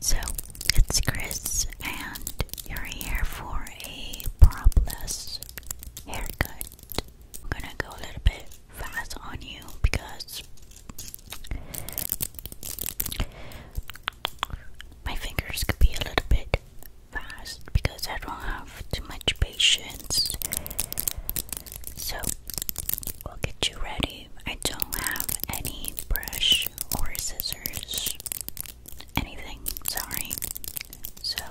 So, it's Chris, and you're here for a propless haircut. I'm gonna go a little bit fast on you because my fingers could be a little bit fast because I don't have too much patience. So, we'll get you ready. I don't have any brush or scissors. Anything, sorry. So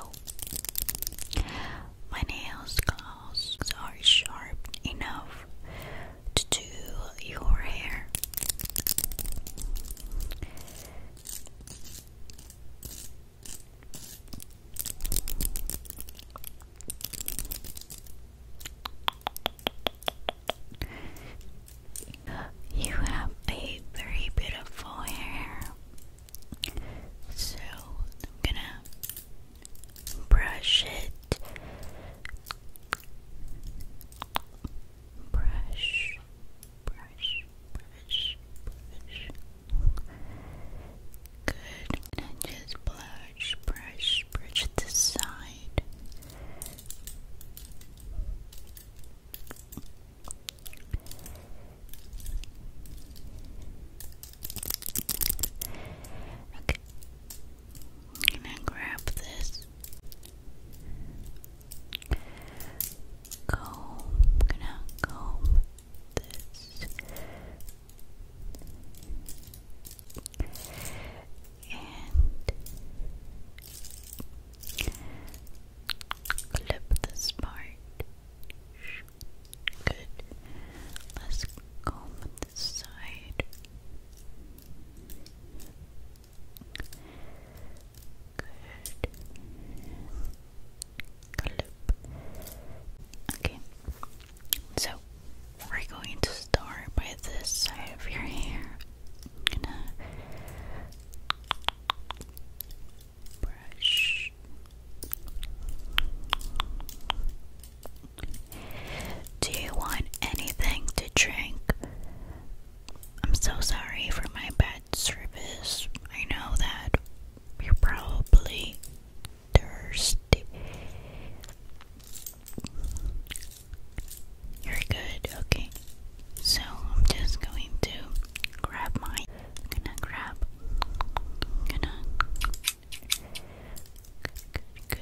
my nails claws are sharp enough to do your hair. You have a very beautiful hair. So I'm gonna brush it. Brush, brush, brush, brush. Good. And just blow brush, brush, brush the side. Okay, I'm gonna grab this. Comb, gonna comb this and clip this part. Good. Let's comb this side. Good. Clip. Okay. So we're going to start by this side of your hair. do you want anything to drink? I'm so sorry for my bad service. I know that you're probably thirsty. You're good, okay. So I'm just going to grab mine. gonna grab. gonna. good.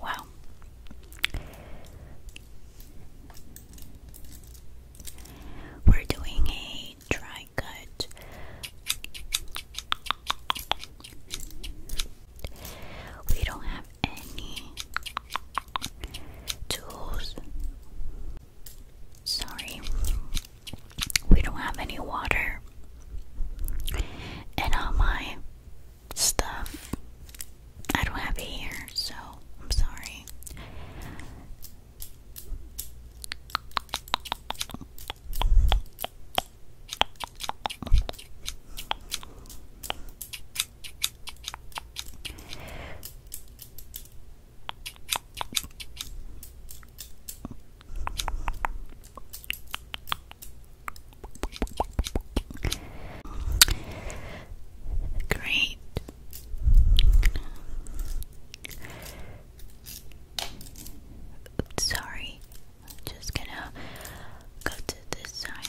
Wow. We're doing a dry cut. We don't have any tools Sorry, we don't have any water. And all my stuff I don't have it here, so I'm sorry. Great. Oops, sorry, I'm just gonna go to this side.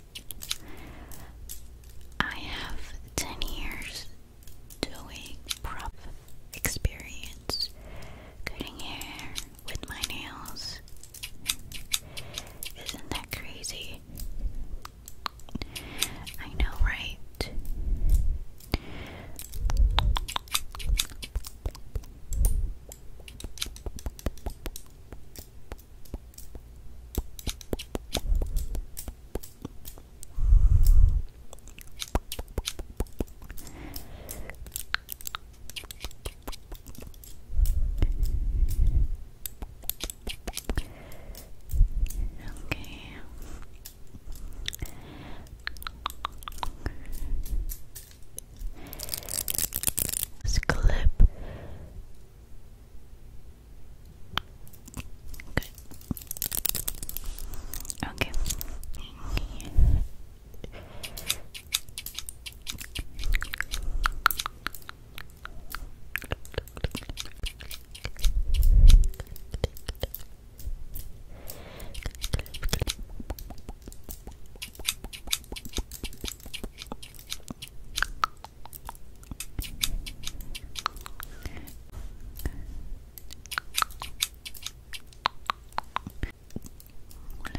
I have 10 years doing prop experience, cutting hair with my nails. Isn't that crazy? I know, right? Okay. This clip Good. Okay. Okay.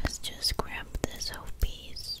Let's just grab this whole piece.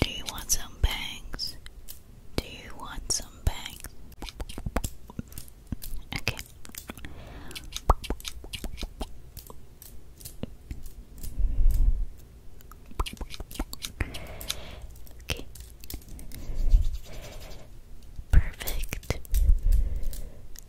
Do you want some bangs? Do you want some bangs? Okay. Okay. Perfect.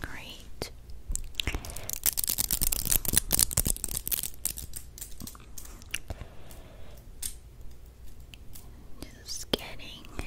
Great. Just getting there.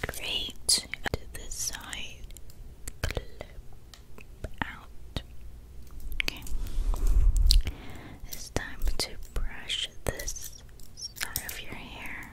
Great. To the side. out. Okay. It's time to brush this side of your hair.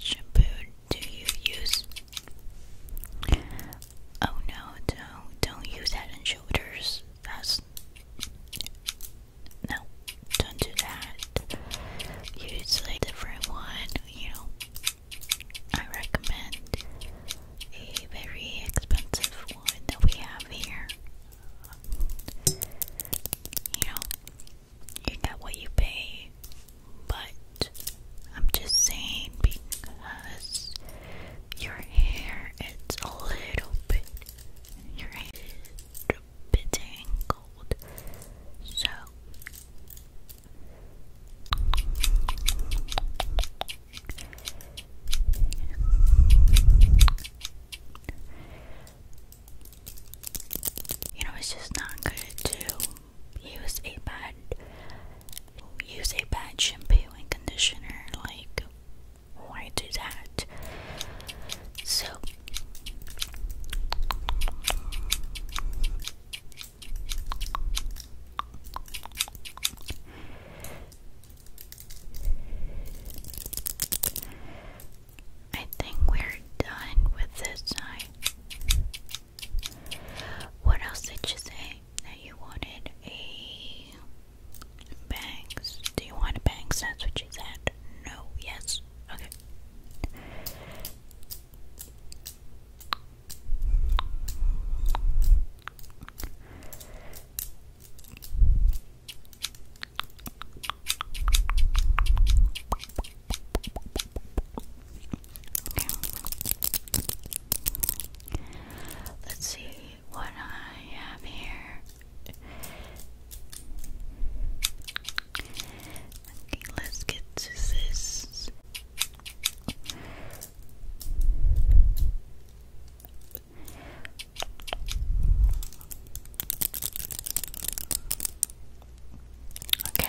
Shampoo do you use? Oh no, don't don't use Head and Shoulders. That's no, don't do that. Use a different one, you know. I recommend a very expensive one that we have here. You know, you get what you pay, but I'm just saying because your hair it's a little bit your hair is a bit tangled. So you know it's just not good to use a bad use a bad shampoo and conditioner like why do that? So I think we're done with this What else did you say that you wanted? A Bangs. Do you want a bangs? That's what she said. No, yes. Okay. Okay. Let's see what I have here. Okay, let's get to this. Okay.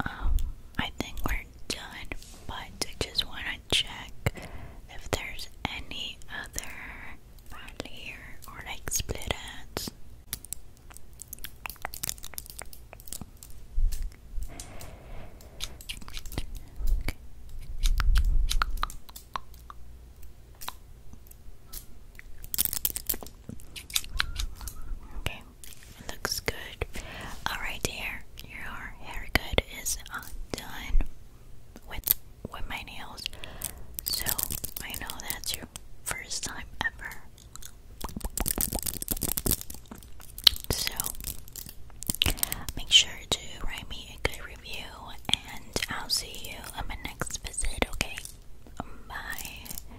Um, I think we're done, but I just want to check if there's any other here or like split ends. Okay. It looks good. Alright dear, your haircut is uh, done with with my nails. So I know that's your first time ever. So make sure to write me a good review and I'll see you on my next visit, okay? Bye.